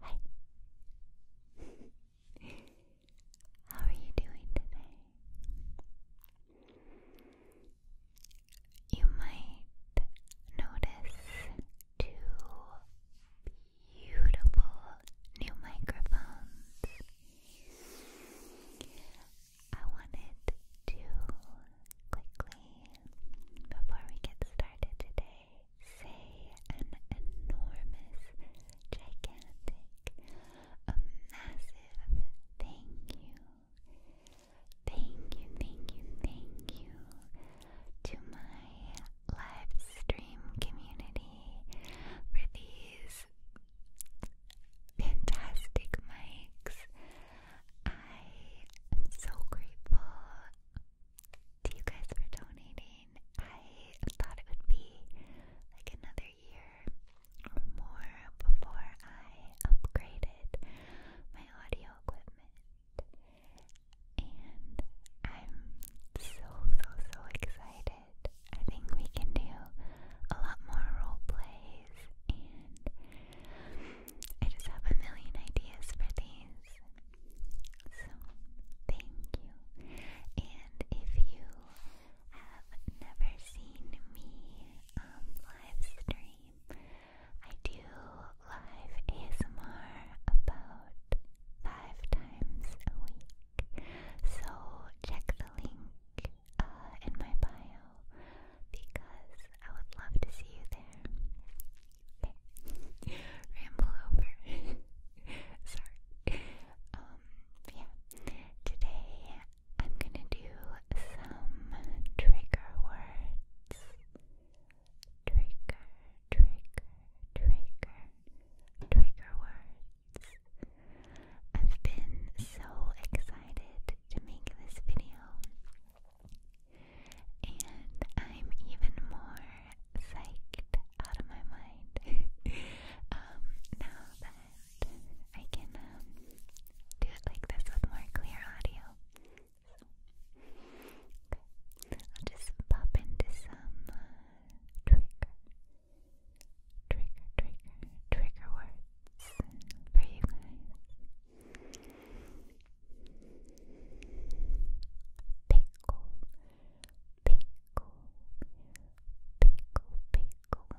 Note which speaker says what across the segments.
Speaker 1: Hi. How are you doing today? You might notice two beautiful new microphones. I wanted to quickly, before we get started today, say an enormous, gigantic, a massive thank you. Thank you, thank you, thank you to my live stream community for these fantastic mics. I am so grateful to you guys for donating. I thought it would be like another year or more before I upgraded my audio equipment and I'm so, so, so excited. I think we can do a lot more role plays, and I just have a million ideas for these. So, thank you. And if you have never seen me um, live stream, I do live ASMR about five times a week. So check the link uh, in my bio because I would love to see you there. Ramble over. Sorry. Um, yeah. Today I'm gonna do some trigger words. Trigger trigger, trigger, trigger words. I've been so excited to make this video, and I'm even more psyched out of my mind um, now that I can um, do it like this with more clear audio. okay, I'll just pop into some. Uh, trigger, trigger, trigger, trigger words for you Pickle, pickle, pickle, pickle. Pickle, pickle, pickle, pickle.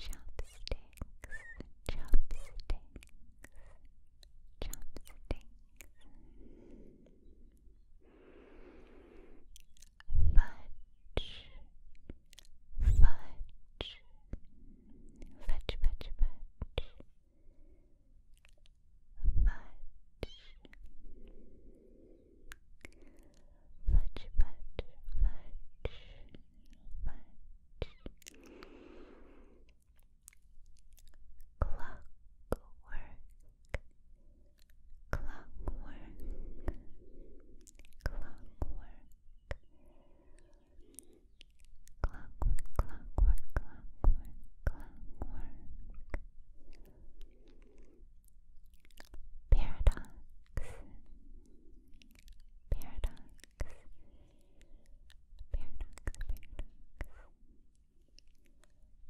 Speaker 1: chopsticks, chopsticks, chopsticks. Fudge, fudge, fudge, fudge, fudge. Fudge, fudge, fudge, fudge, fudge. Clockwork, clockwork, clockwork. Clockwork, clockwork, clockwork, clockwork. Paradox, Paradox. Paradox, paradox.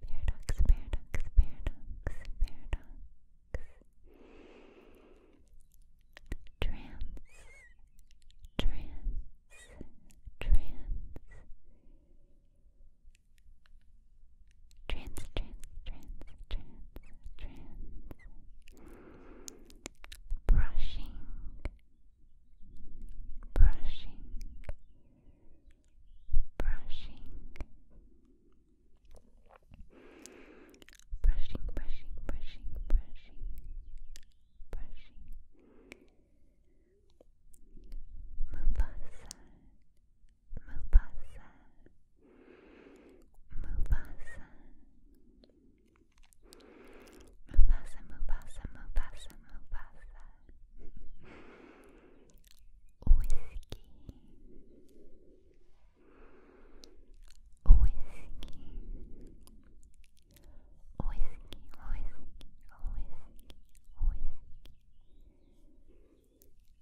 Speaker 1: Paradox, paradox, paradox, paradox. Trance, trance, trance. Trance, trance, trance, trance, trance brushing, brushing, brushing, brushing, brushing, brushing, brushing, brushing. Mufasa, Mufasa, Mufasa. Mufasa, Mufasa, Mufasa, Mufasa. Whiskey. Whiskey. Whiskey, whiskey, whiskey, whiskey.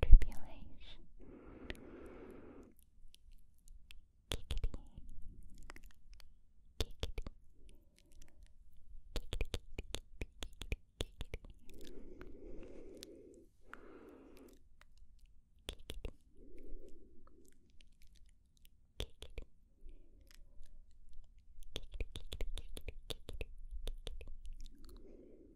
Speaker 1: tribulation. Kickity, kickity, kickity, kickity, kickity, kickity, kickity, kickity, kickity, kickity, kickity, kickity, kickity, kickity,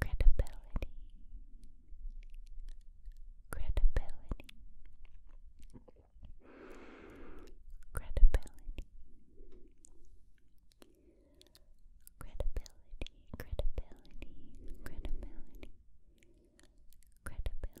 Speaker 1: credibility, credibility, credibility, credibility, credibility, credibility. Credibility,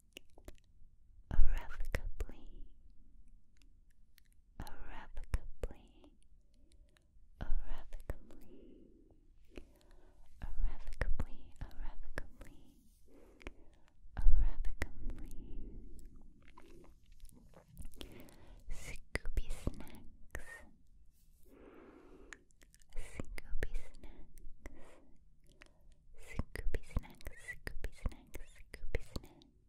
Speaker 1: irrevocably, irrevocably, irrevocably,
Speaker 2: irrevocably, irrevocably, irrevocably. Scooby snacks, Scooby snacks. Scoopy snacks, Scoopy snacks, Scoopy snacks.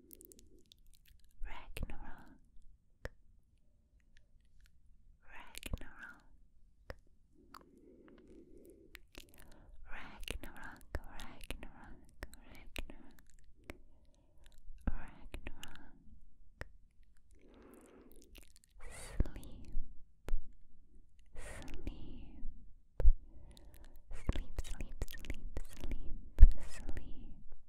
Speaker 2: Ragnarok, Ragnarok, Ragnarok, Ragnarok, Ragnarok, Ragnarok. sleep. Sleep, sleep, sleep, sleep, sleep,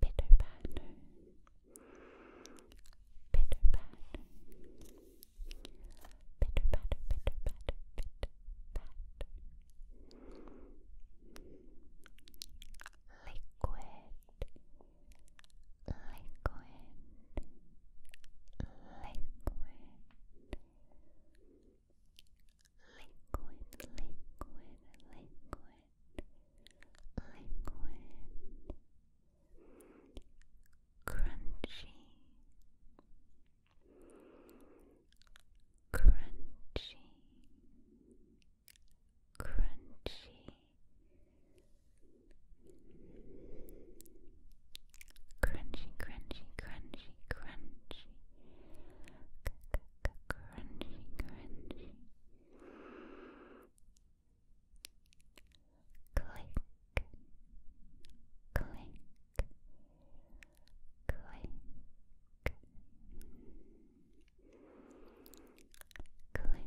Speaker 2: Pitter patter, pitter patter, pitter patter, pitter patter, pitter patter. Liquid, liquid, liquid liquid, liquid, liquid, liquid, crunchy, crunchy, crunchy, crunchy, crunchy, crunchy, crunchy. C crunchy, crunchy. Click, click, click, click, click. Click,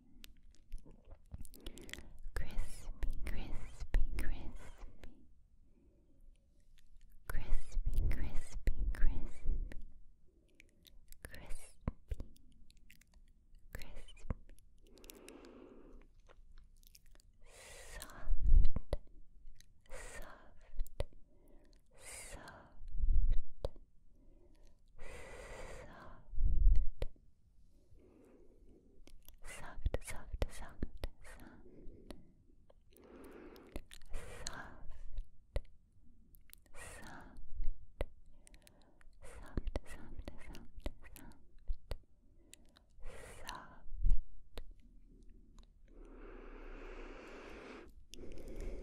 Speaker 2: Crispy, crispy, crispy. Crispy, crispy, crispy. Crispy, crispy. Soft, soft, soft. Soft, soft, soft, soft, soft, soft, soft, soft, soft, soft, soft. Soft. Icky. Icky.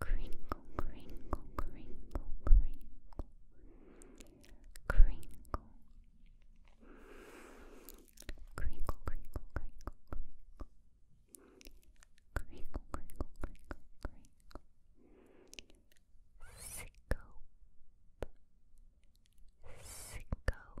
Speaker 2: crinkle, crinkle, crinkle, crinkle, crinkle, crinkle, crinkle, crinkle, crinkle, crinkle, crinkle, crinkle, crinkle, scope, scope, scope.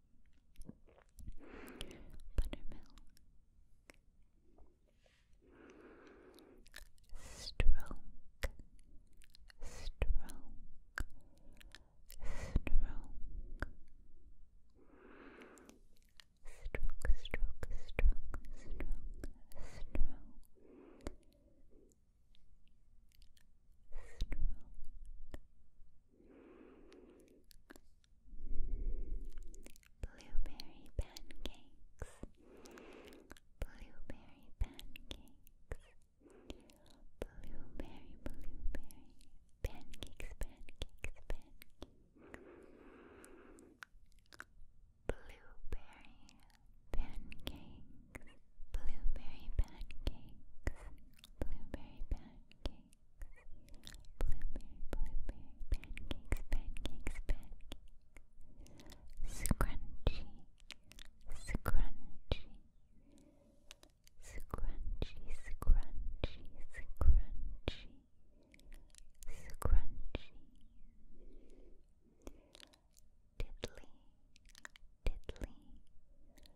Speaker 2: buttermilk, stroke, stroke, stroke. Stroke, stroke, stroke, stroke, stroke. Stroke, Blueberry pancakes. Blueberry pancakes. Blueberry, blueberry. Pancakes, pancakes, pancakes. Blueberry pancakes. Blueberry pancakes blueberry pancakes, blueberry, blueberry pancakes, pancakes, pancakes, scrunchy, scrunchy, scrunchy, scrunchy, scrunchy, scrunchy, tiddly, tiddly.